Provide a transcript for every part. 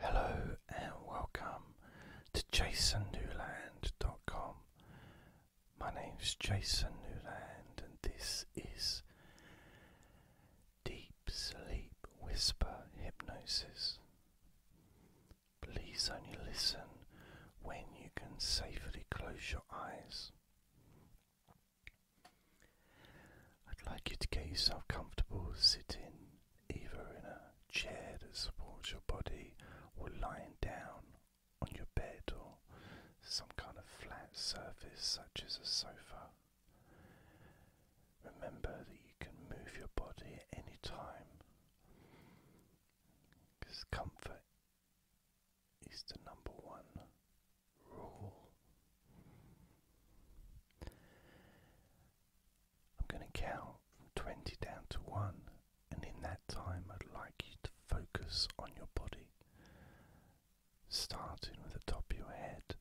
Hello and welcome to jasonnewland.com. My name is Jason Newland and this is Deep Sleep Whisper Hypnosis. Please only listen when you can safely close your eyes. I'd like you to get yourself comfortable sitting either in a chair that supports your body or lying down on your bed or some kind of flat surface such as a sofa. Remember that you can move your body at any time because comfort is the number one rule. I'm going to count from 20 down to 1, and in that time, I'd like you to focus on your body, starting with the top of your head,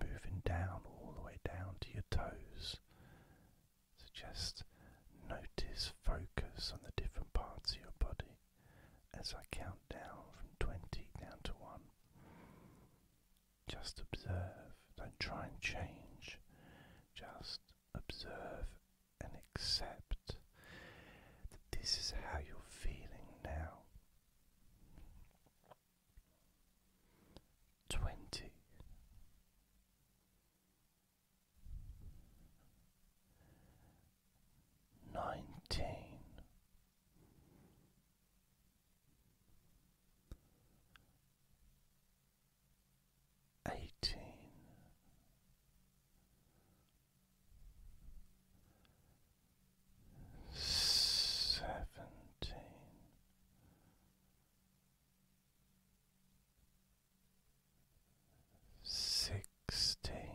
moving down all the way down to your toes. So just notice, focus on the different parts of your body as I count down from 20 down to 1. Just observe. Don't try and change. Just observe and accept that this is how you're feeling now. 20 19 eighteen seventeen sixteen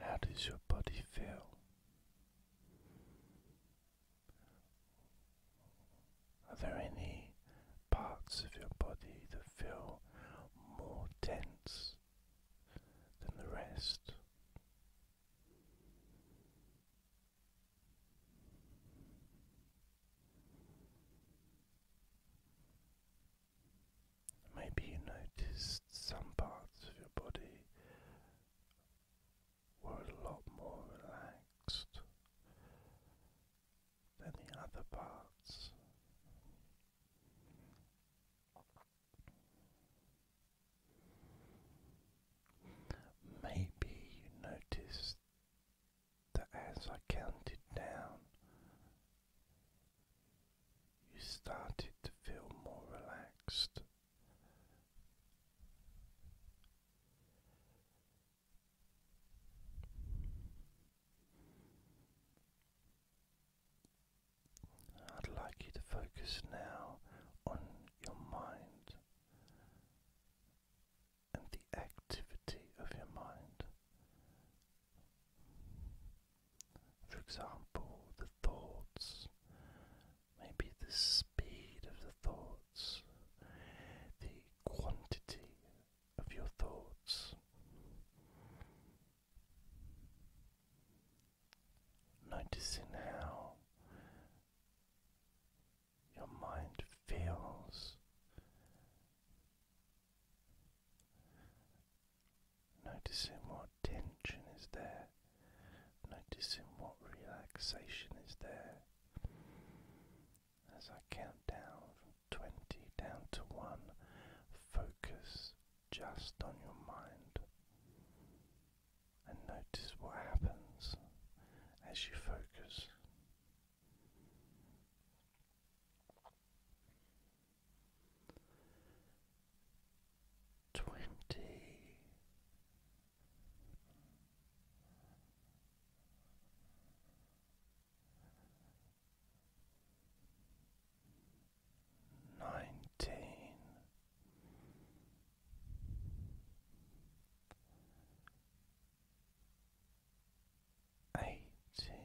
How does your body feel? Are there any parts of your body that feel more tense than the rest? Maybe you noticed some parts of your body were a lot more relaxed than the other parts. Maybe you noticed that as I counted down you started to feel more relaxed. I'd like you to focus now on your mind and the activity of your mind. For example, the thoughts, maybe the speed of the thoughts, the quantity of your thoughts. Noticing how your mind feels noticing what tension is there, noticing what relaxation is there. As I count down from 20 down to 1, focus just on your mind and notice what happens as you focus twenty nineteen Eighteen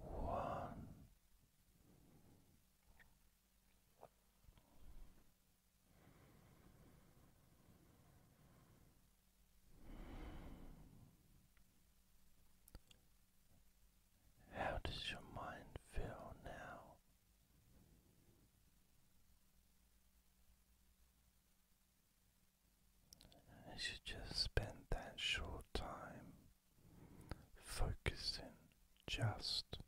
One. How does your mind feel now? I should just spend that short time focusing just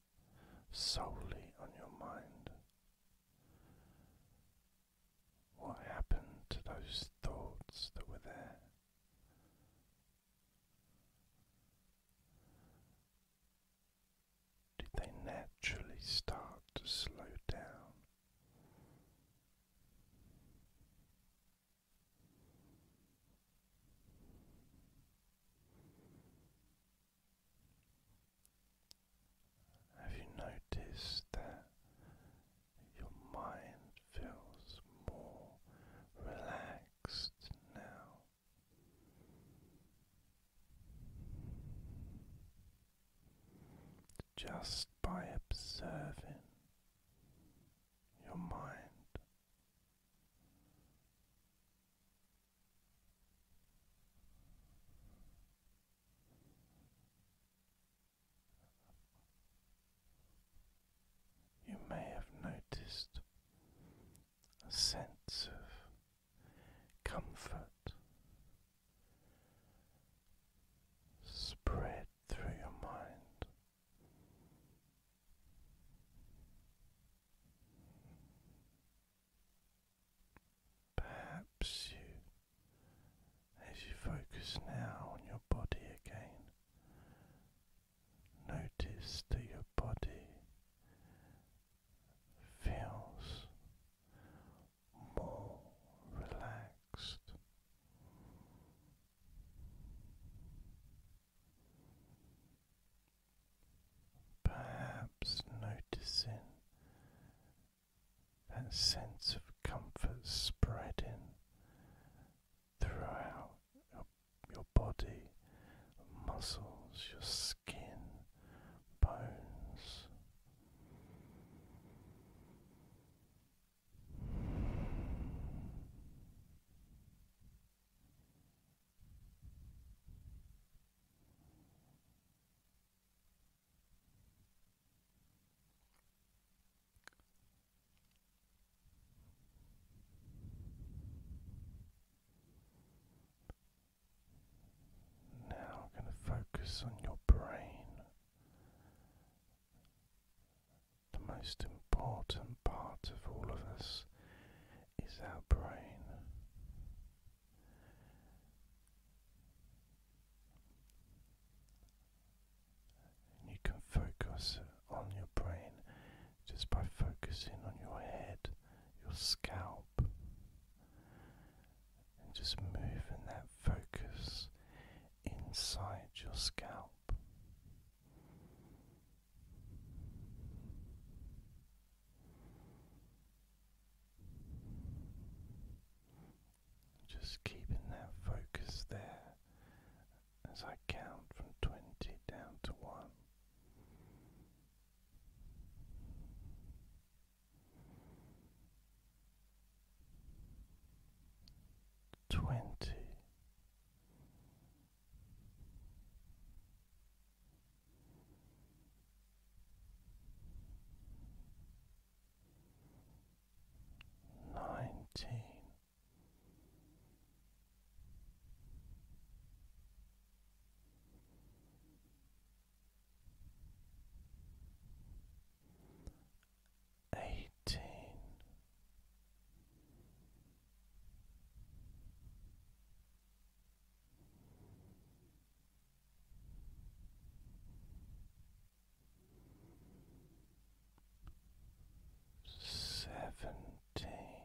solely on your mind. What happened to those thoughts that were there? did they naturally start to slow down? Have you noticed that your mind feels more relaxed now? just by observing your mind. You may have noticed a sense of comfort spread through your mind. Perhaps you, as you focus now on your body again, notice that your body feels more relaxed. Perhaps noticing that sense of comfort spreading throughout your, body, muscles, your skin, bones. Now I'm going to focus on your brain, the most important part of all of us. Is our brain. you can focus on your brain just by focusing on your head, your scalp, and just moving that focus inside your scalp. Just keeping that focus there as I count from 20 down to 1 twenty nineteen eighteen seventeen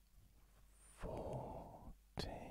fourteen. Thirteen.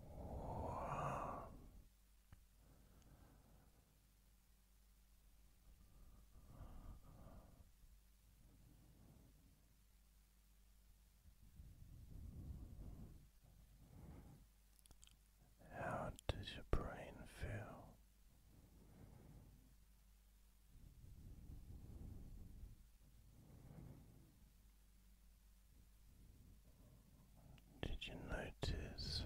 Wow. How does your brain feel? Did you notice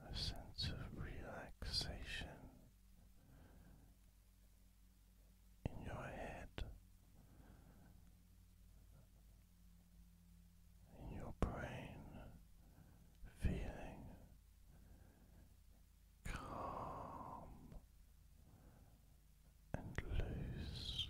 a, sense of relaxation in your head, in your brain, feeling calm and loose.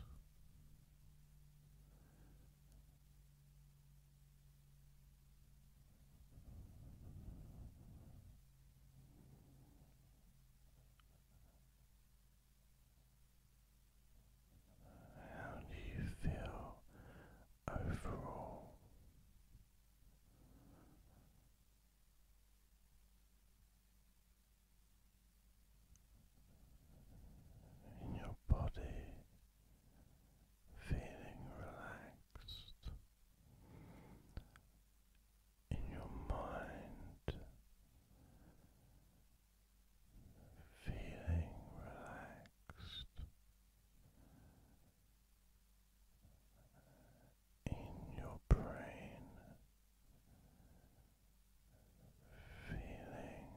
How do you feel overall? in your body feeling relaxed, in your mind feeling relaxed in your brain, feeling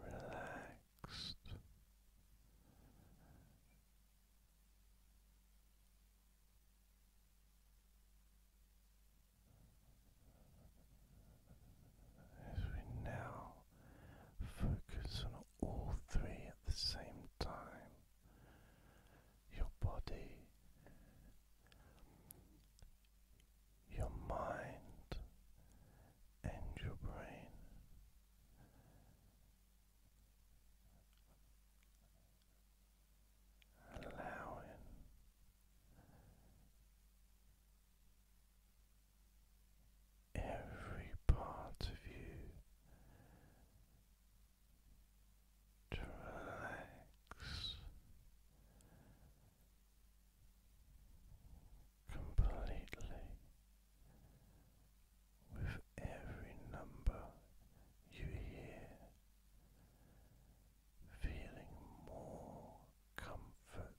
relaxed. As we now focus on all three at the same time, your body, your mind, and your brain. Allowing every part of you to relax completely with every number you hear, feeling more comfort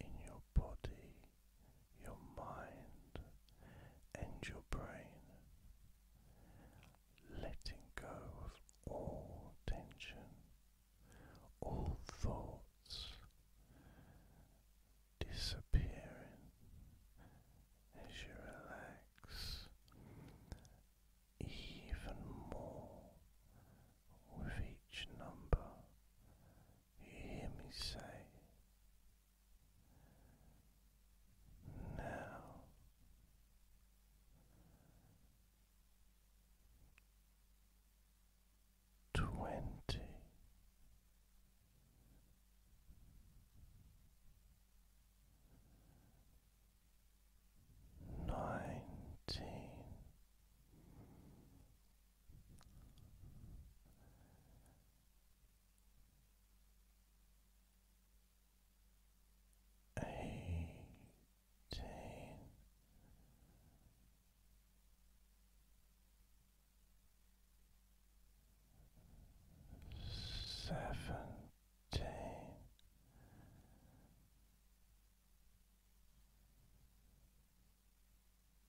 in your body your mind and your brain, letting go of all tension, all thoughts disappearing as you relax even more with each number. You hear me say now twenty eighteen. Seventeen,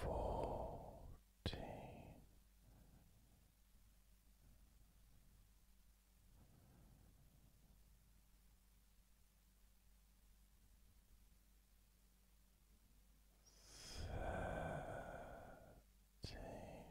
fourteen. Thirteen.